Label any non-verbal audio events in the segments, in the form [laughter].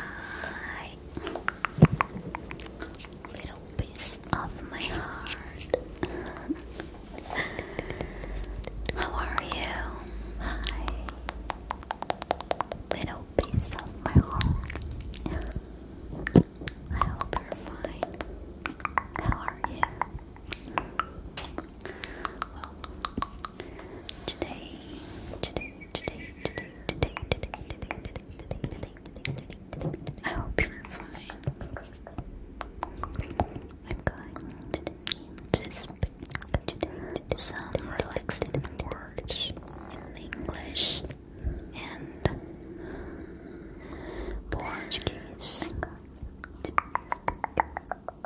Hi, little piece of my heart. [laughs] How are you? Hi, little piece of my heart. I hope you How are you? Well, today, today, today, today. I hope you're fine. I'm going to speak some relaxing words in English and Portuguese.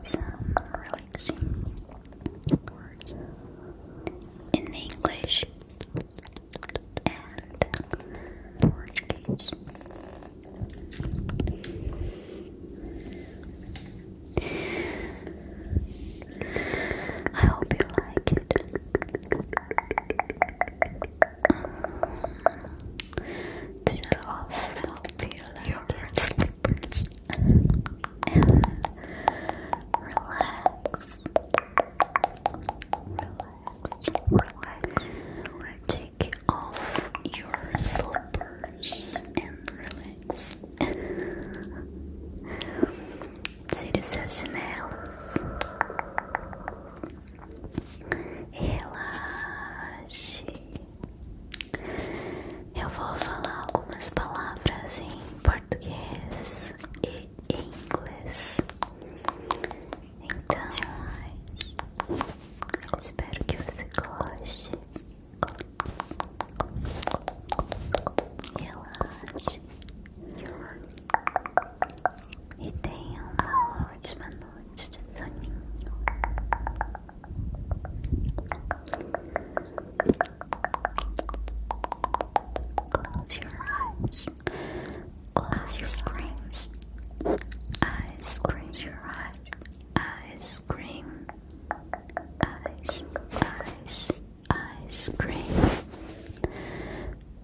Some relaxing in English and Portuguese. I hope you like it. so, I hope you your relax, relax, relax. Take off your slippers and relax. Tire seus chinelos Relax. Eu vou falar algumas palavras em português português e inglês. Então, espero que você goste. Relaxe e tenha uma ótima noite de soninho. Close your eyes. Close your screams. Eyes, close your eyes. Ice cream. Ice, ice, ice cream.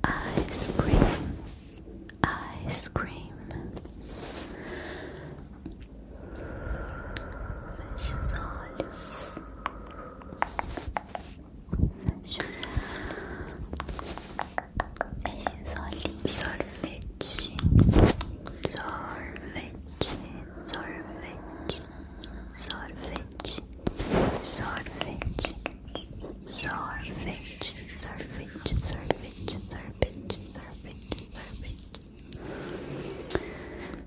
Ice cream. Ice cream. Sorvete, sorvete, sorvete, sorvete, sorvete, sorvete, sorvete, sorvete, sorvete, sorvete, sorvete,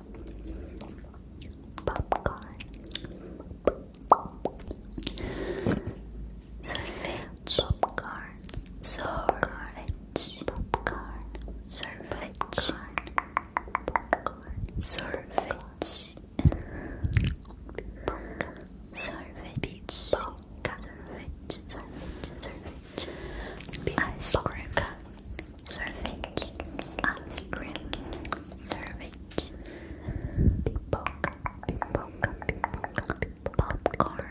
popcorn, Sorvete popcorn, Sorvete popcorn, Sorvete popcorn, Sorvete Sorvete Sorvete Sorvete Sorvete Ice cream Servant ice cream. Servant Poke. Popcorn. Popcorn.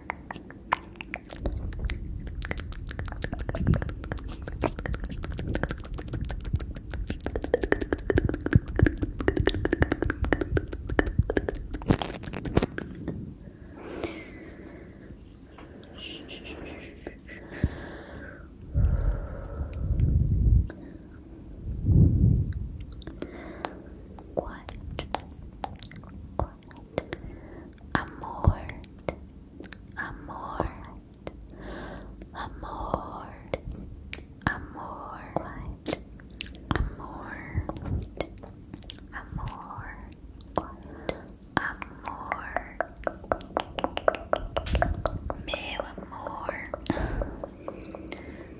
Quiet amor, amor, amor, amor, amor, amor, amor, meu amor.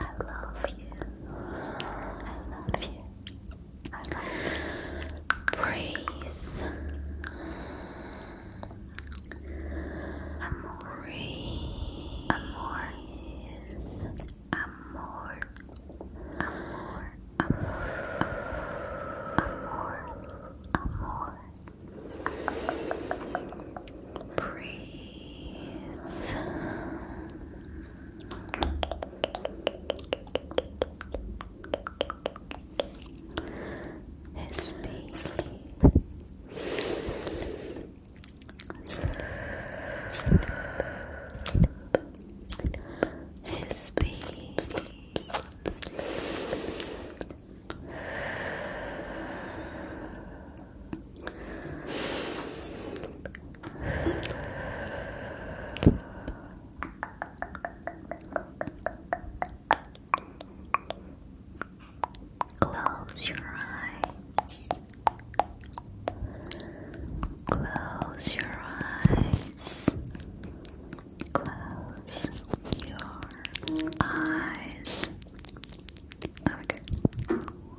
I love you. I love you. Breathe. Amor. Breathe. Amor. Amor. Amor. Amor. Breathe. His face His face Sleep. Close your eyes. Close your eyes. Close your eyes. Okay.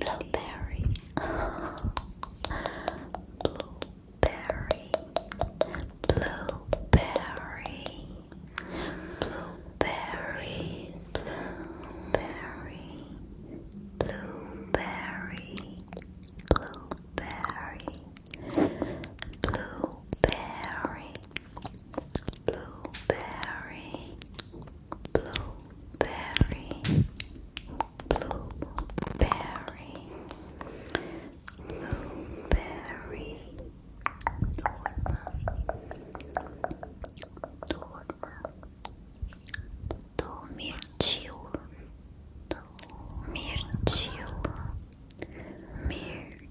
blueberry. blueberry. Blueberry. Blueberry. Blueberry. Blueberry. Blueberry. Blueberry blueberry, blueberry, blueberry, blueberry, dorma, dorma, dormirtil, dormirtil, mir.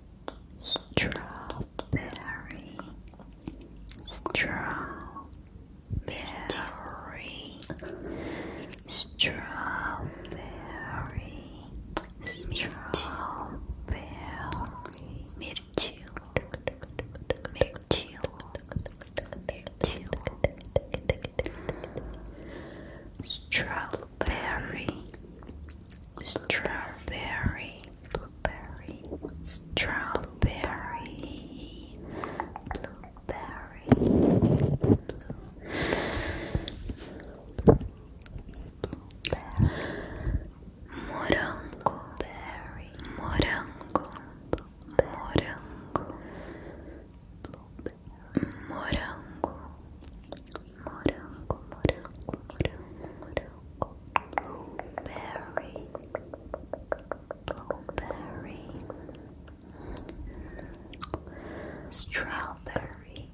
strawberry, strawberry, strawberry, strawberry, mirchi, mirchi, mirchi, strawberry, strawberry blueberry, strawberry, blueberry, blueberry, morango, berry, morango, morango, morango, morango, morango, morango, morango blueberry, blueberry, strawberry,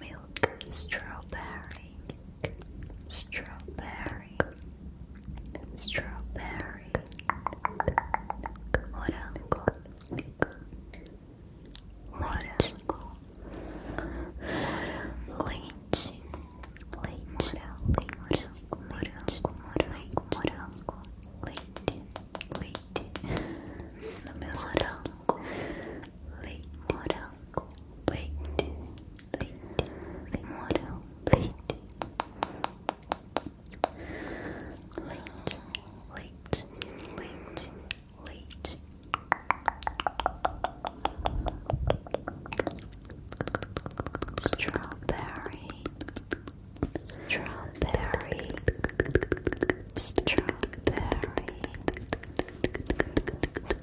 milk, strawberry, strawberry, strawberry, morango, morango, leite, leite, leite, morango, morango, morango, leite, leite, no meu morango, leite, morango, leite, leite, morango, leite, leite, leite, leite, leite. Strawberry, strawberry, strawberry, strawberry,